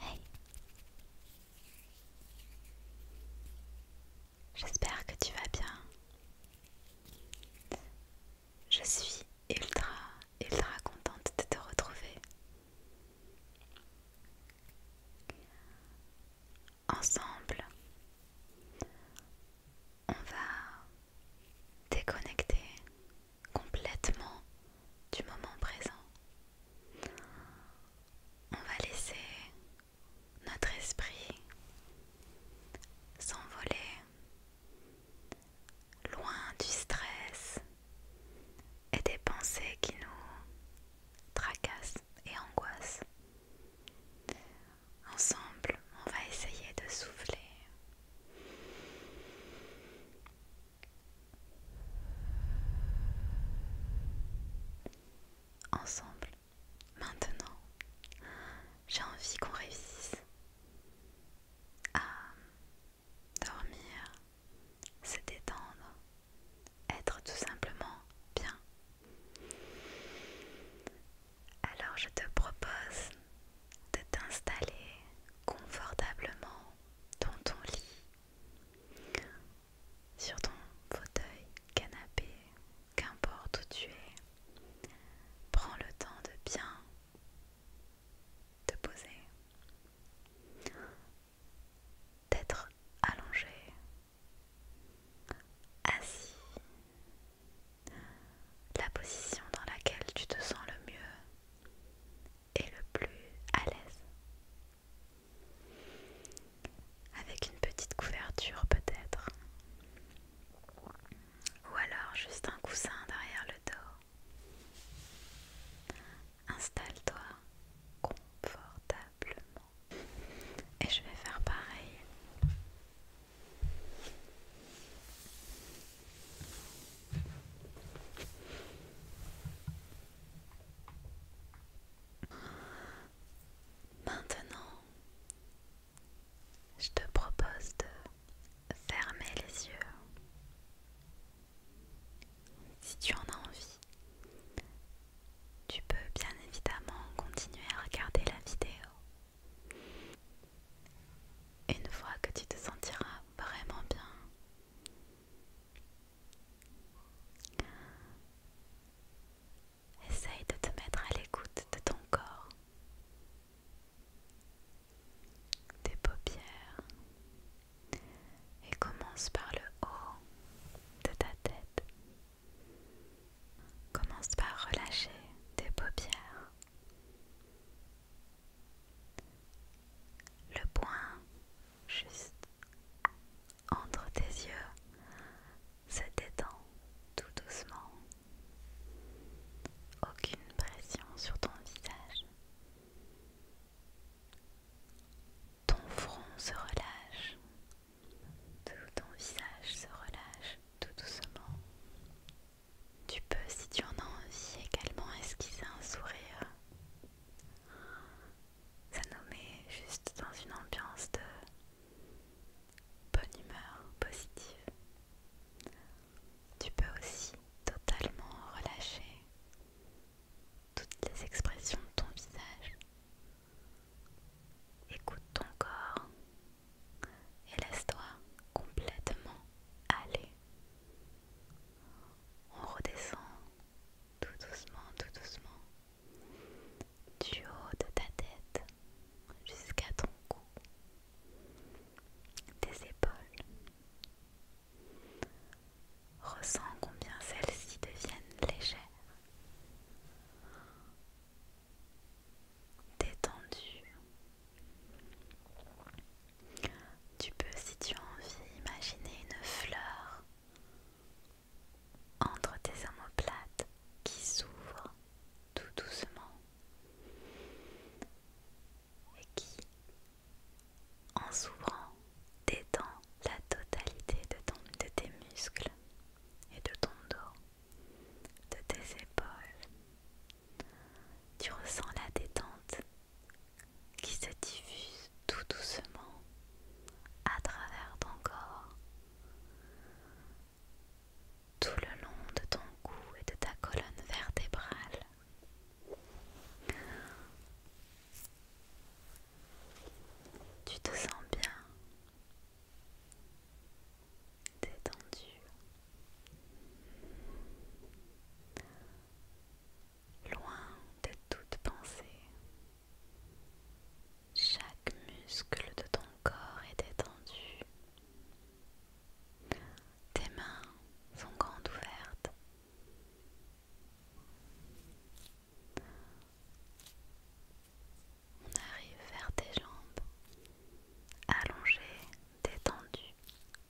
Hey J'espère que tu vas bien. Je suis ultra, ultra contente de te retrouver. Ensemble, on va déconnecter complètement du moment présent. On va laisser notre esprit s'envoler loin du stress et des pensées qui nous tracassent et angoissent. Ensemble, on va essayer de souffler Ensemble, maintenant, j'ai envie qu'on réussisse à dormir, se détendre, être tout simplement bien. Alors je te propose de t'installer confortablement dans ton lit, sur ton fauteuil, canapé, qu'importe où tu es. Prends le temps de bien te poser, d'être allongé, assis. La position dans laquelle tu te sens le mieux et le plus à l'aise. Avec une petite couverture peut-être. Ou alors juste un coussin derrière le dos. Installe-toi confortablement. Et je vais faire pareil. Maintenant, je te propose de fermer les yeux. Si tu en as envie, tu peux bien évidemment continuer à regarder la vidéo une fois que tu te sentiras vraiment bien, essaye de te mettre à l'écoute de ton corps, tes paupières, et commence par le haut de ta tête. Commence par relâcher tes paupières le point juste entre tes yeux se détend tout doucement. Aucune pression sur ton visage. Ton front se relâche. Tout ton visage se relâche tout doucement. Tu peux, si tu en as envie, également esquisser un sourire. Ça nous met juste dans une ambiance de bonne humeur positive. Tu peux aussi totalement relâcher toutes les expressions de ton visage. Écoute ton corps, et laisse-toi complètement aller. On redescend tout doucement, tout doucement du haut de ta tête jusqu'à ton cou, tes épaules. Ressens combien celles-ci deviennent légères détendu. Tu peux, si tu as envie, imaginer une fleur entre tes omoplates qui s'ouvre tout doucement et qui, en s'ouvrant, détend la totalité de, de tes muscles et de ton dos de tes épaules. Tu ressens la détente qui se diffuse tout doucement à travers ton corps, tout le long de ton cou et de ta colonne vertébrale. Tu te sens bien, détendu, loin de toute pensée. Chaque muscle de ton corps est détendu. Tes mains sont grandes ouvertes. On arrive vers tes jambes, allongées, détendues,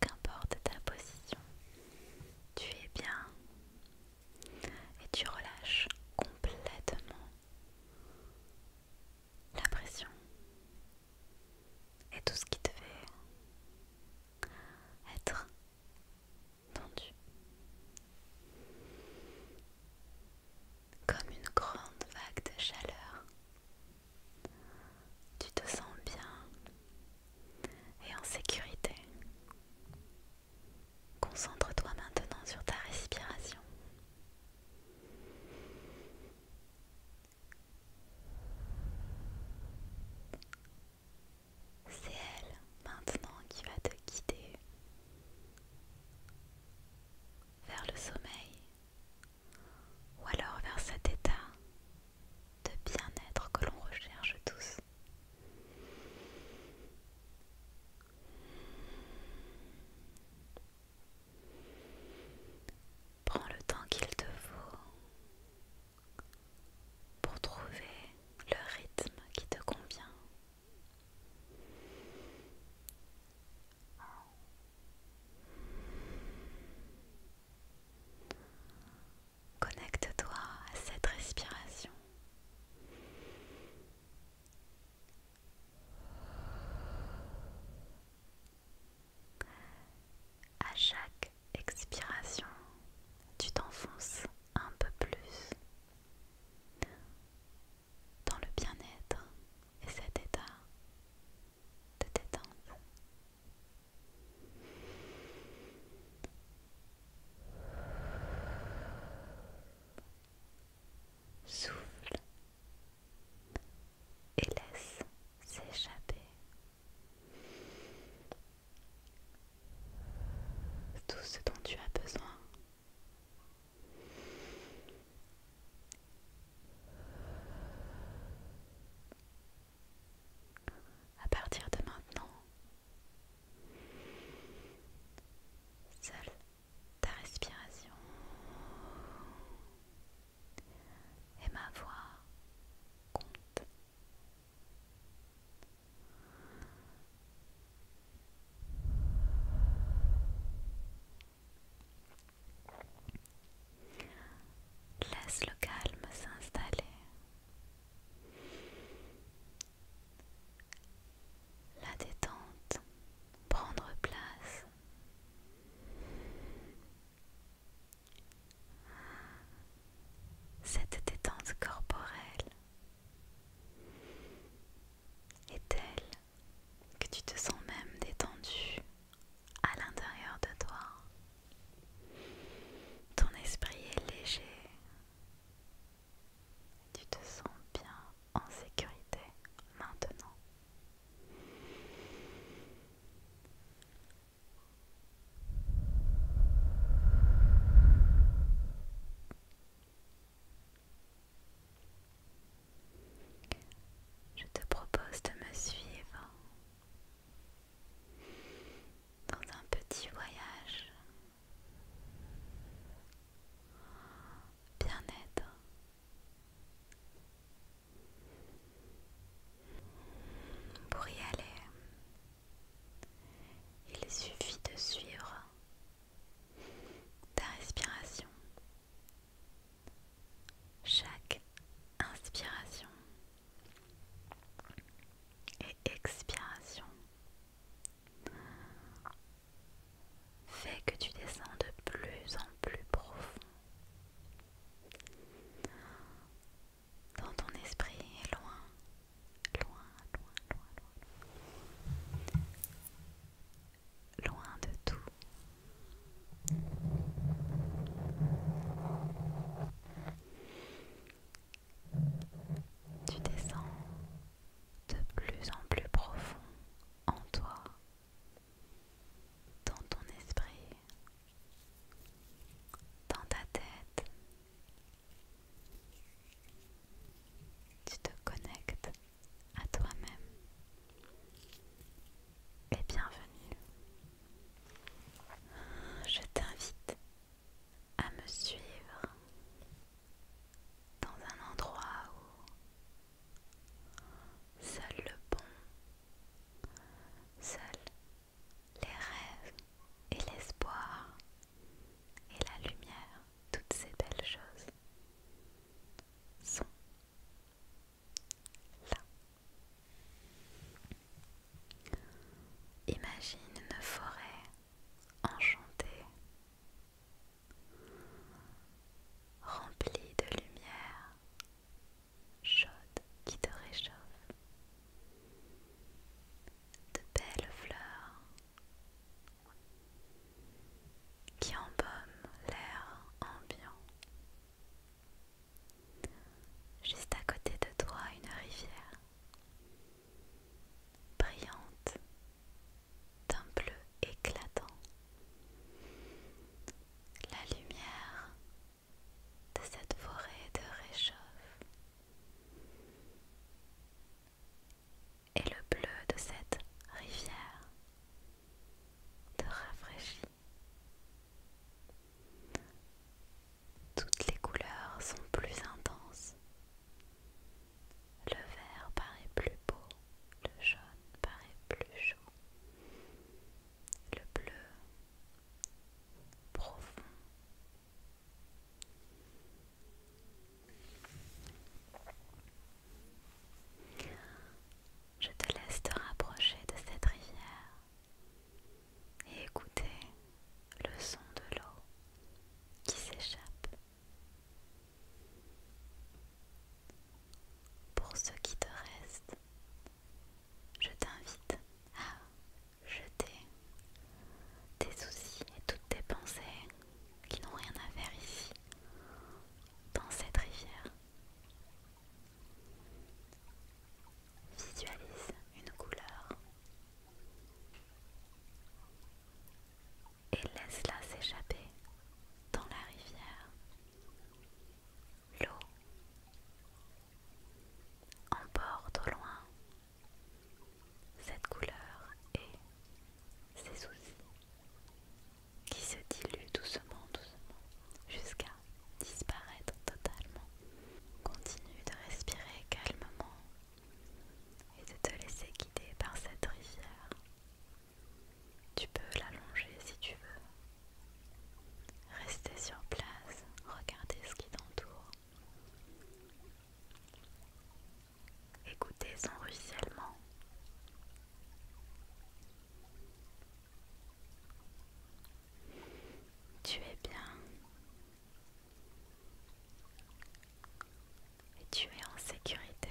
qu'importe ta position. Tu es bien et tu relâches complètement la pression et tout ce qui te fait être tendu comme une grande vague de chaleur. Tu te sens bien et en sécurité. Concentre-toi maintenant sur ta respiration. C'est elle maintenant qui va te guider vers le sommeil ou alors vers cet état de bien-être que l'on recherche tous. Prends le temps qu'il te faut pour trouver le rythme qui te convient Connecte-toi à cette respiration. À chaque expiration, tu t'enfonces un peu plus dans le bien-être et cet état de détente. Souffle et laisse s'échapper tout ce dont tu as besoin à partir de maintenant, seule ta respiration et ma voix compte. Laisse le calme s'installer. La détente prendre place. Cette détente corporelle est telle que tu te sens même détendu à l'intérieur de toi. Ton esprit est léger. Tu te sens bien en sécurité maintenant. Je te propose de me suivre dans un petit voyage bien-être. Pour y aller, il suffit de suivre ta respiration. Chaque inspiration et expiration fait que tu descends de plus en plus profond dans ton esprit et loin loin, loin, loin, loin, loin de tout. Tu descends de plus en plus profond en toi, dans ton esprit, dans ta tête tu te connectes à toi-même. Et bienvenue. Je t'invite à me suivre dans un endroit où seul le bon, seul les rêves et l'espoir et la lumière, toutes ces belles choses sont là. Imagine une forêt enchantée, remplie de lumière chaude qui te réchauffe de belles fleurs qui embaument l'air ambiant. Juste à côté de toi, une rivière brillante d'un bleu éclatant. La lumière de cette forêt de réchauffe et le bleu de cette rivière te rafraîchit. Toutes les couleurs sont plus intenses. Le vert paraît plus beau, le jaune paraît plus chaud, le bleu profond je te laisse te rapprocher de cette rivière et écouter le son de l'eau qui s'échappe. Pour ce qui te reste, je t'invite à jeter tes soucis et toutes tes pensées qui n'ont rien à faire ici, dans cette rivière. Visualise une couleur et laisse-la s'échapper dans la rivière. L'eau emporte au loin cette couleur et ses soucis qui se diluent doucement, doucement, jusqu'à disparaître totalement. Continue de respirer calmement et de te laisser guider par cette rivière. Tu peux l'allonger si tu veux. Rester sur place, regarder ce qui t'entoure. Écoutez son ruissellement. Tu es bien. Et tu es en sécurité.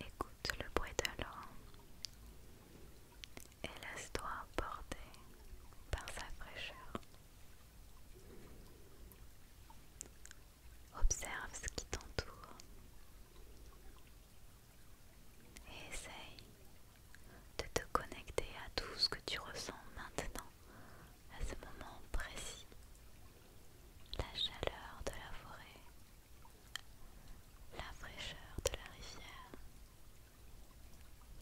Écoute le bruit de l'eau et laisse-toi porter par sa fraîcheur. Observe ce qui t'entoure et essaye de te connecter à tout ce que tu ressens maintenant, à ce moment précis, la chaleur de la forêt, la fraîcheur de la rivière,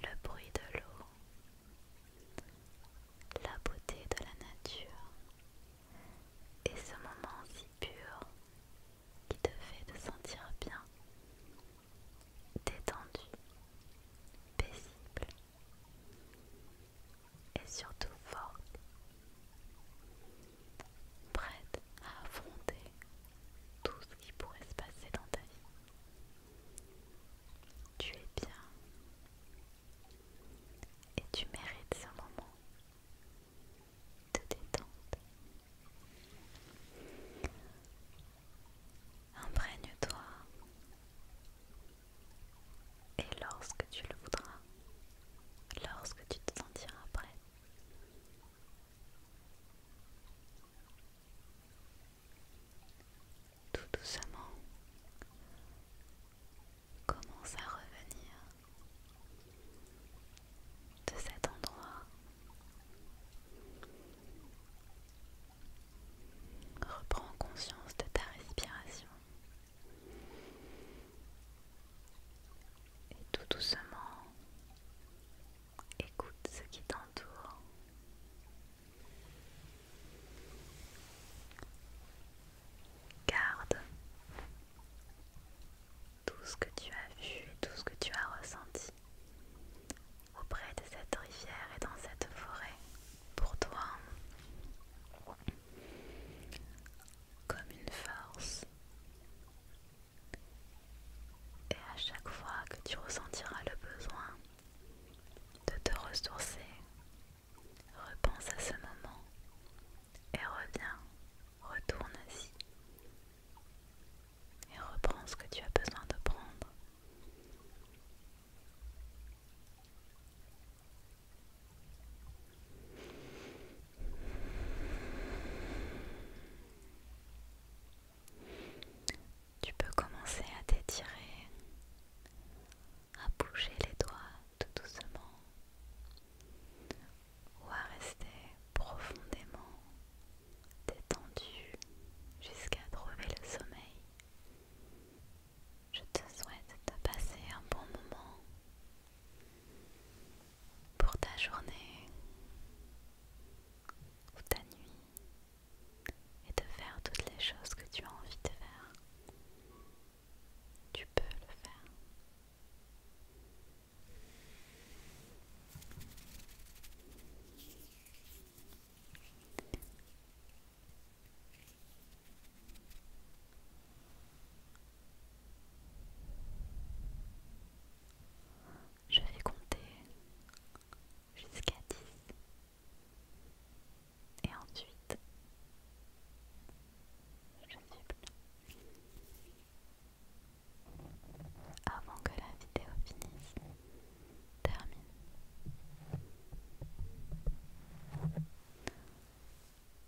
le bruit de l'eau, la beauté de la nature et ce moment si pur qui te fait te sentir bien, détendu, paisible et surtout fort prête à affronter tout ce qui pourrait se passer dans ta vie. Tu es bien et tu mérites ce moment de détente. Imprègne-toi et lorsque tu le voudras, lorsque tu te sentiras prête, tout doucement commence à revenir de cet endroit. Reprends conscience de ta respiration. Et tout doucement, écoute ce qui t'entoure. Garde tout ce que tu as vu et tout ce que tu as ressenti auprès de cette rivière et dans cette forêt pour toi comme une force Et à chaque fois que tu ressentiras le besoin de te ressourcer, repense à ce moment et reviens, retourne-y et reprends ce que tu as besoin de prendre. Tu peux commencer à t'étirer, à bouger les doigts tout doucement ou à rester profondément détendu jusqu'à trouver le sommeil. Je te souhaite de passer un bon moment pour ta journée ou ta nuit et de faire toutes les choses que tu as envie de faire. Tu peux le faire. Je vais compter jusqu'à 10 et ensuite je plus avant que la vidéo finisse, termine.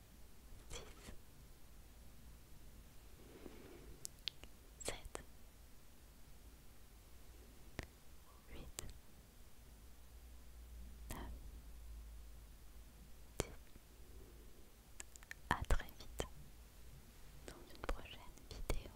six, sept, À très vite dans une prochaine vidéo.